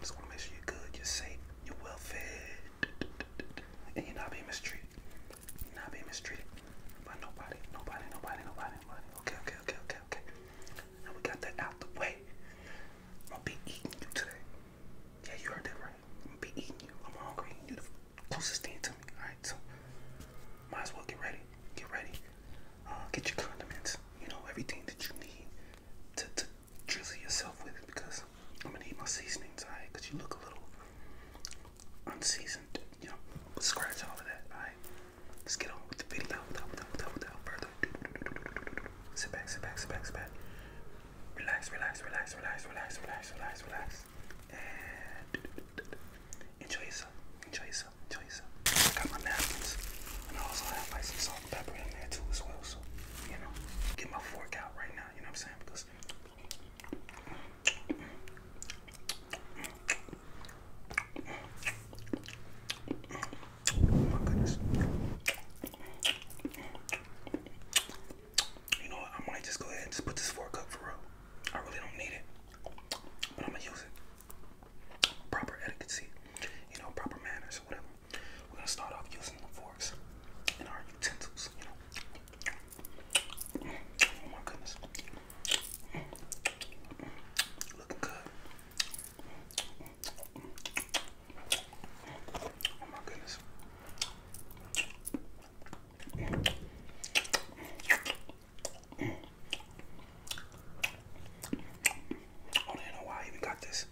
Just want to make sure you're good, you're safe, you're well fed, and you're not being mistreated. You're not being mistreated by nobody, nobody, nobody, nobody, nobody. Okay, okay, okay, okay, okay. Now we got that out the way. I'm gonna be eating you today. Yeah, you heard that right. I'm gonna be eating you. I'm hungry. You the closest thing to me. Alright, so might as well get ready. Get ready. Uh, get your condiments. You know everything that you need to, drizzle yourself with it because I'm gonna need my seasonings, alright? Because you look a little unseasoned, you know. But scratch all of that, alright? Let's get on with the video without, without, without, without further ado. Sit back, sit back, sit back, sit back. Relax, relax, relax, relax, relax, relax, relax, relax. And enjoy yourself, enjoy yourself tell you I got my napkins, and I also have like some salt and pepper in there too as well. So, you know, get my fork out right now, you know what I'm saying? Because oh, my goodness. You know what? I might just go ahead and just put this fork up for real. I really don't need it. But I'm gonna use it proper etiquette, you know, proper manners whatever. We're gonna start off using the forks and our utensils, you know. Oh my goodness. Looking good. Oh my goodness. I oh, don't even know why I even got this.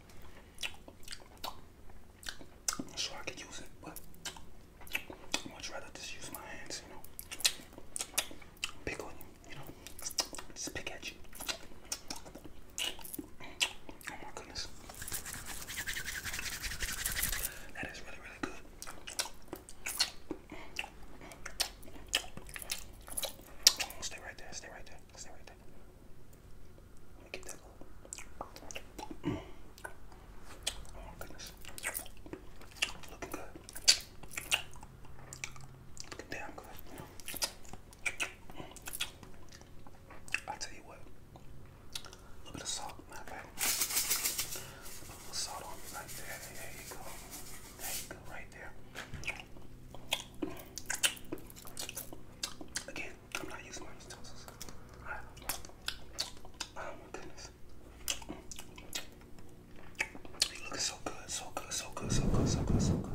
i I could use it, but much rather just use my hands, you know. Pick on you, you know. Just pick at you. Oh my goodness. That is really, really good. Stay right there, stay right there, stay right that. i good. Looking damn good. I'll tell you what. A little bit of salt, matter of A little salt on me like There you go. There you go, right there. Again, I'm not using my utensils. Oh my goodness. You're so good, so good, so good, so good, so good, so good.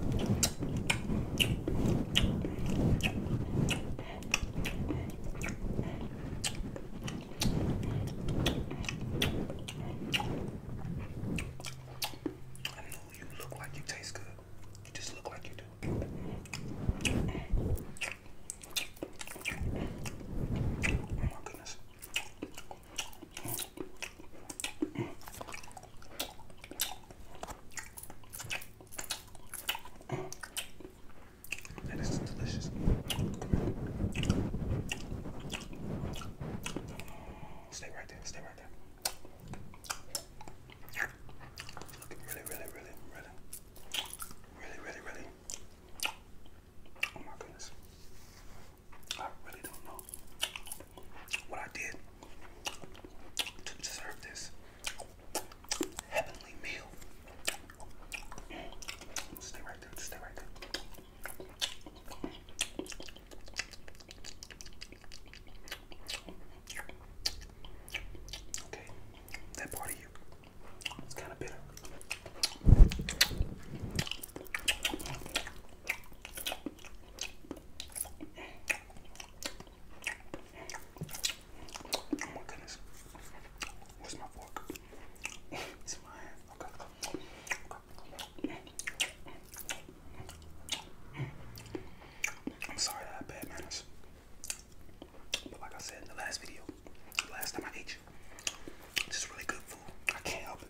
You look like you taste good. You just look like you do. Oh my goodness. And delicious. Stay right there. Stay right there. Really, really, really, really, really, really, really. Oh my goodness. I really don't know what I did to deserve this heavenly meal. Mm. Stay right there, stay right there. Okay, that part of you is kind of bitter. Oh my goodness. Where's my fork? it's in my hand. okay. I'm sorry that I have bad manners. But like I said in the last video, last time I ate you, just really good food. I can't help it.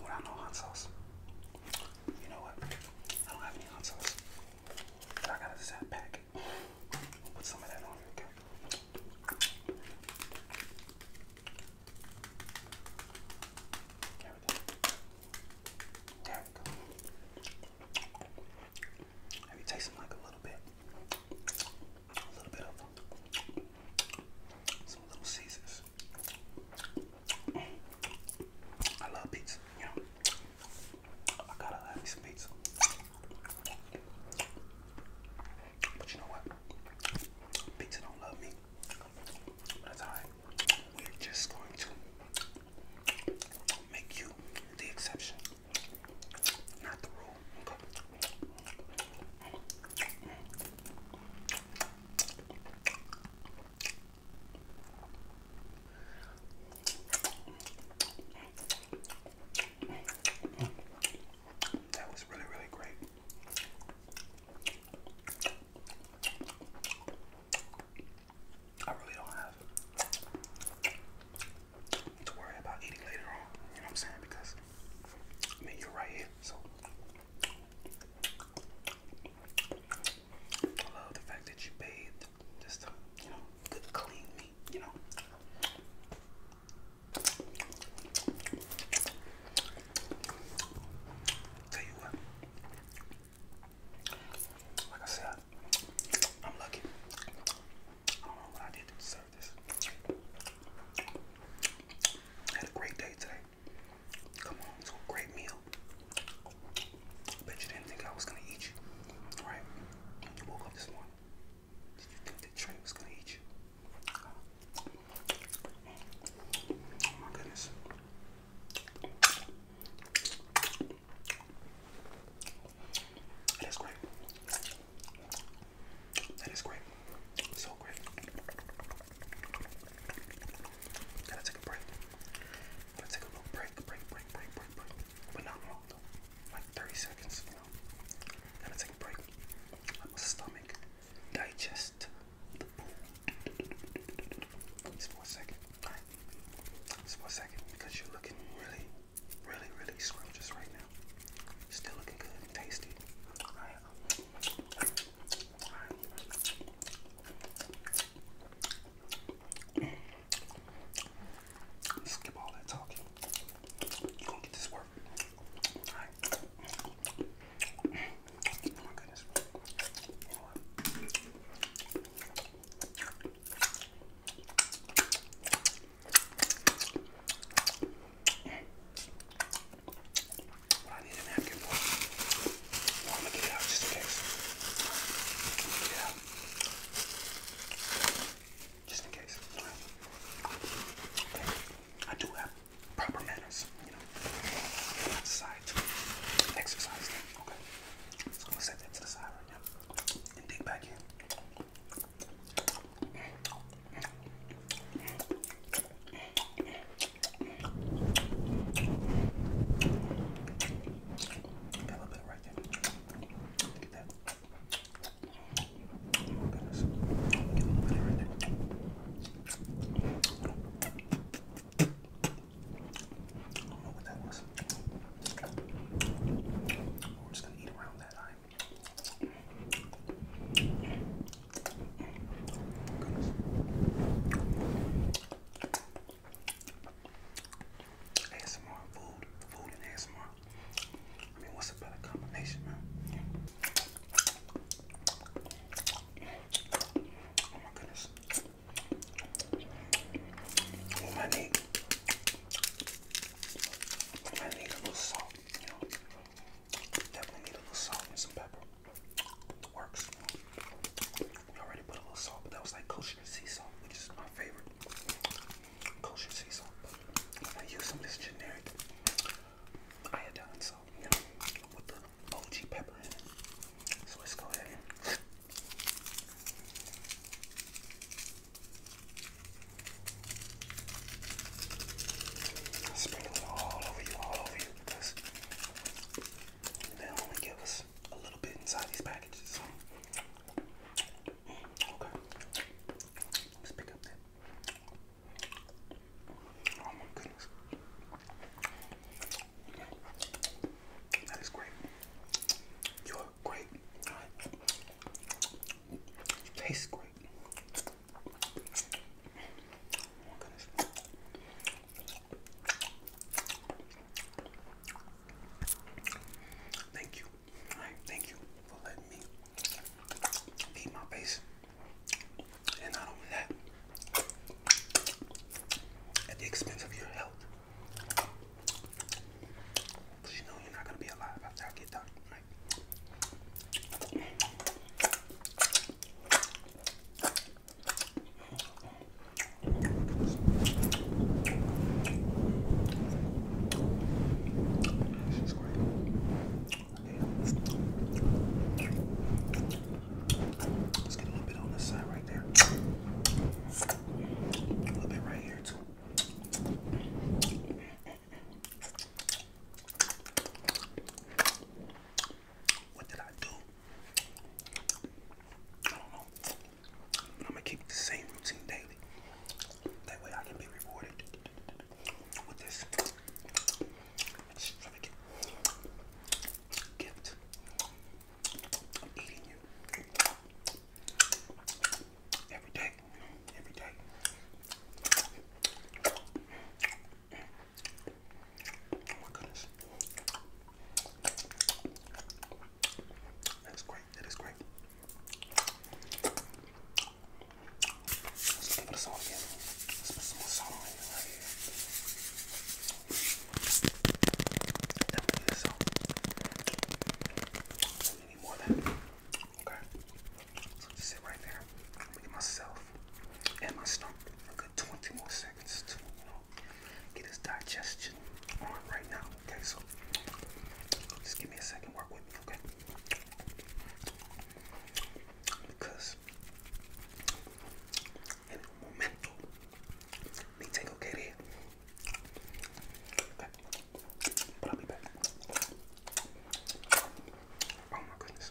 Without no hot sauce. You know what? I don't have any hot sauce. But I got a Zap Pack. i some of that on here, okay? There we go. There we taste them like a little bit. A little bit of Some little Caesars. I love pizza, you I gotta have some pizza. But you know what? Pizza don't love me. that's alright. We're just going to make you the exception, not the rule. Okay. That was really, really great. I really don't have to worry about eating later on, you know what I'm saying? Because I mean, you're right here, so I love the fact that you bathed just to, uh, you know, good clean meat, you know. Tell you what, like I said, I'm lucky. I don't know what I did to deserve this. had a great day today. Come on, it's a great meal. Bet you didn't think I was gonna eat you, right? You woke up this morning. Did you think the train was gonna eat you? Oh my goodness. That is great. That is great. So great. Gotta take a break. Gotta take a little break, break, break, break, break, But not long Like 30 seconds, you know. Gotta take a break. my stomach digest the food. Just for Because you're looking really, really, really scrumptious right now. Still looking good and tasty. Alright. Skip all that talking. you gonna get this work. Oh my goodness what I need a napkin for. I'm gonna get out just in case. get out. Just in case. I do have proper manners, you know. i exercise Okay. So I'm gonna set that to the side right now. And dig back in. Got a little bit right there. Look at that. Oh my goodness. Get a little bit right there. I don't know what that was. We're just gonna eat around that eye. Goodness. ASMR, food, food and ASMR. I mean, what's a better combination, man? Oh my goodness. What I need, I need a little salt, you know. Definitely need a little salt and some pepper. Works. We already put a little salt, but that was like kosher sea salt, which is my favorite. Kosher sea salt. But I use some of this generic iodine salt, you know, with the OG pepper in it. So let's go ahead and Sprinkle it all over you, all over you, because they only give us a little bit inside these packages. Mm, okay. Let's pick up that. Oh my goodness. That is great. You're great. You great. Oh, Thank you. thank you for letting me beat my face. And not only that, at the expense of your health. Because you know you're not going to be alive after I get done, this is great. Okay. Let's get a little bit on this side right there. A little bit right here too. What did I do? I don't know. I'm gonna keep the same routine daily. That way I can be rewarded with this extravagant gift of eating you every day. Every day. Oh my goodness. That's great. That is great. Let's put this on again. Let's put some more salt on here, right here. Definitely this salt. We need more of just sit right there. I'm myself and my stomach a good 20 more seconds get his digestion on right now. Okay, so just give me a second, work with me, okay? Because in el momento me tengo que ir. Okay, but I'll be back. Oh my goodness.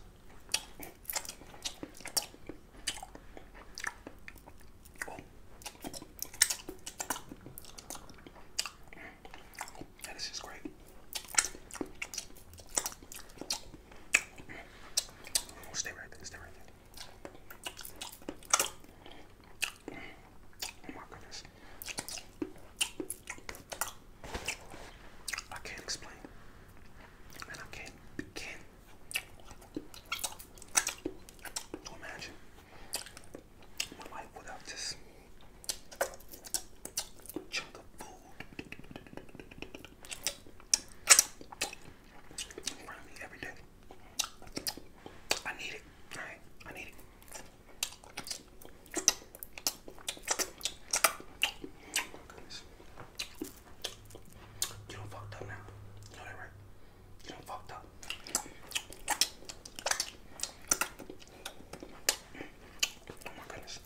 Oh. Yeah, great. Stay right there, stay right there. Oh my goodness. I can't explain. I can't, can't Imagine my life without this chunk of food I need it, I need it. Oh you don't fucked up now. You know that right? You don't fucked up. Oh my goodness.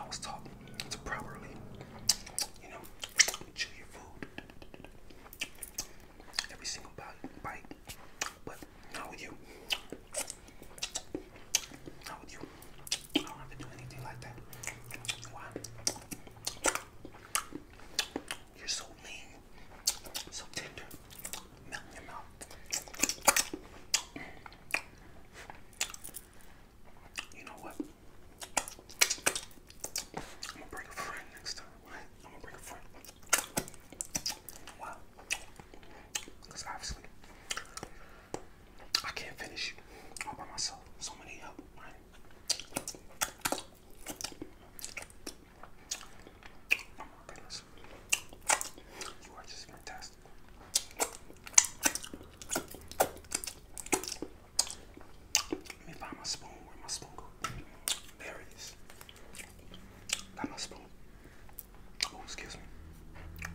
I was taught to properly, you know, chew your food every single bite, But not with you. Not with you. I don't have to do anything like that. You're so lean, so tender, melt in your mouth. You know what? I'm gonna bring a friend next time, I'm gonna bring a friend. Wow. Because obviously, I can't finish all by myself. So many help, oh You are just fantastic. Let me find my spoon. Where my spoon go? There it is. Got my spoon. Oh, excuse me.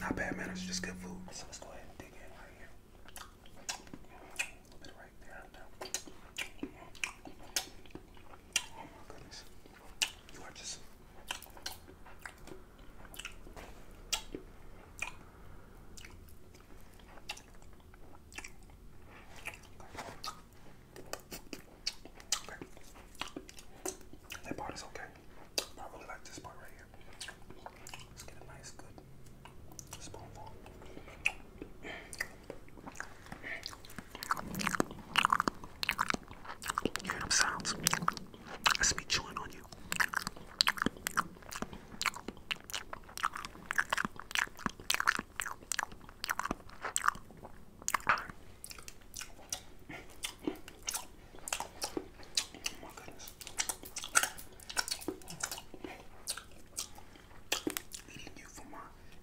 Not bad manners, just good food. So let's go ahead and dig in right here. A little bit Right there. Oh my goodness. You are just Okay. That part is okay. I really like this part right here. Let's get a nice, good spoonful. You hear them sounds. That's me chewing on you. Eating you for my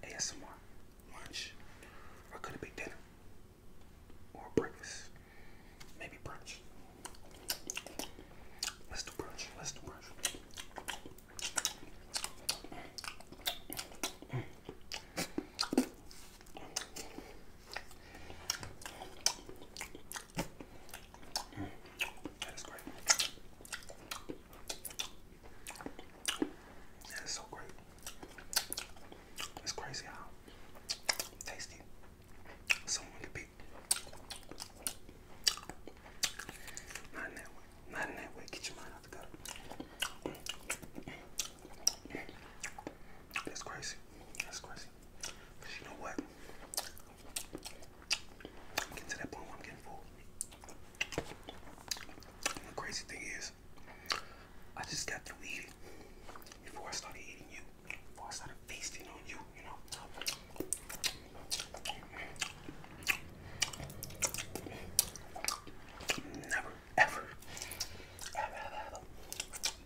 ASMR lunch or could it be dinner? Or breakfast. Maybe brunch. Let's do brunch. Let's do brunch. That is great. That is so great. It's crazy how tasty not in that way. Not in that way. Get your mind out the gutter. That's crazy. That's crazy. Cause you know what? i to that point where I'm getting full. the crazy thing is, I just got through eating before I started eating you. I started feasting on you, Never, ever, ever, ever,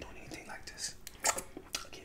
doing anything like this again.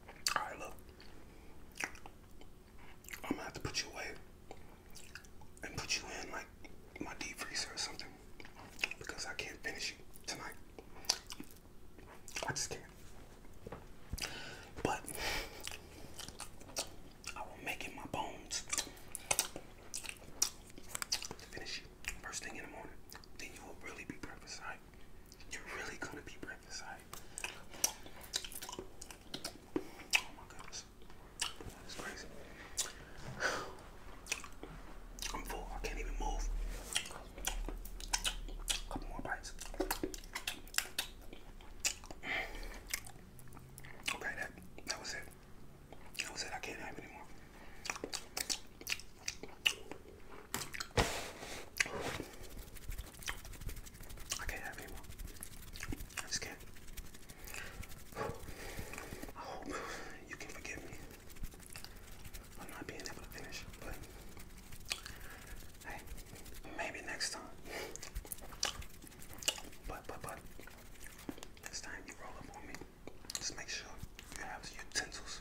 All right, look. I'm gonna have to put you away and put you in like my deep freezer or something because I can't finish you tonight. I just can't. But I will make it my bones to finish you first thing in the morning. Then you will really be breakfast. All like, you're really gonna be breakfast like. Oh my goodness, that's crazy. I'm full. I can't even move. couple more bites. Okay, that that was it. That was it. I can't have I can't anymore. I just can I hope you can forgive me for not being able to finish, but hey, maybe next time. But, but, but, next time you roll up on me, just make sure you have utensils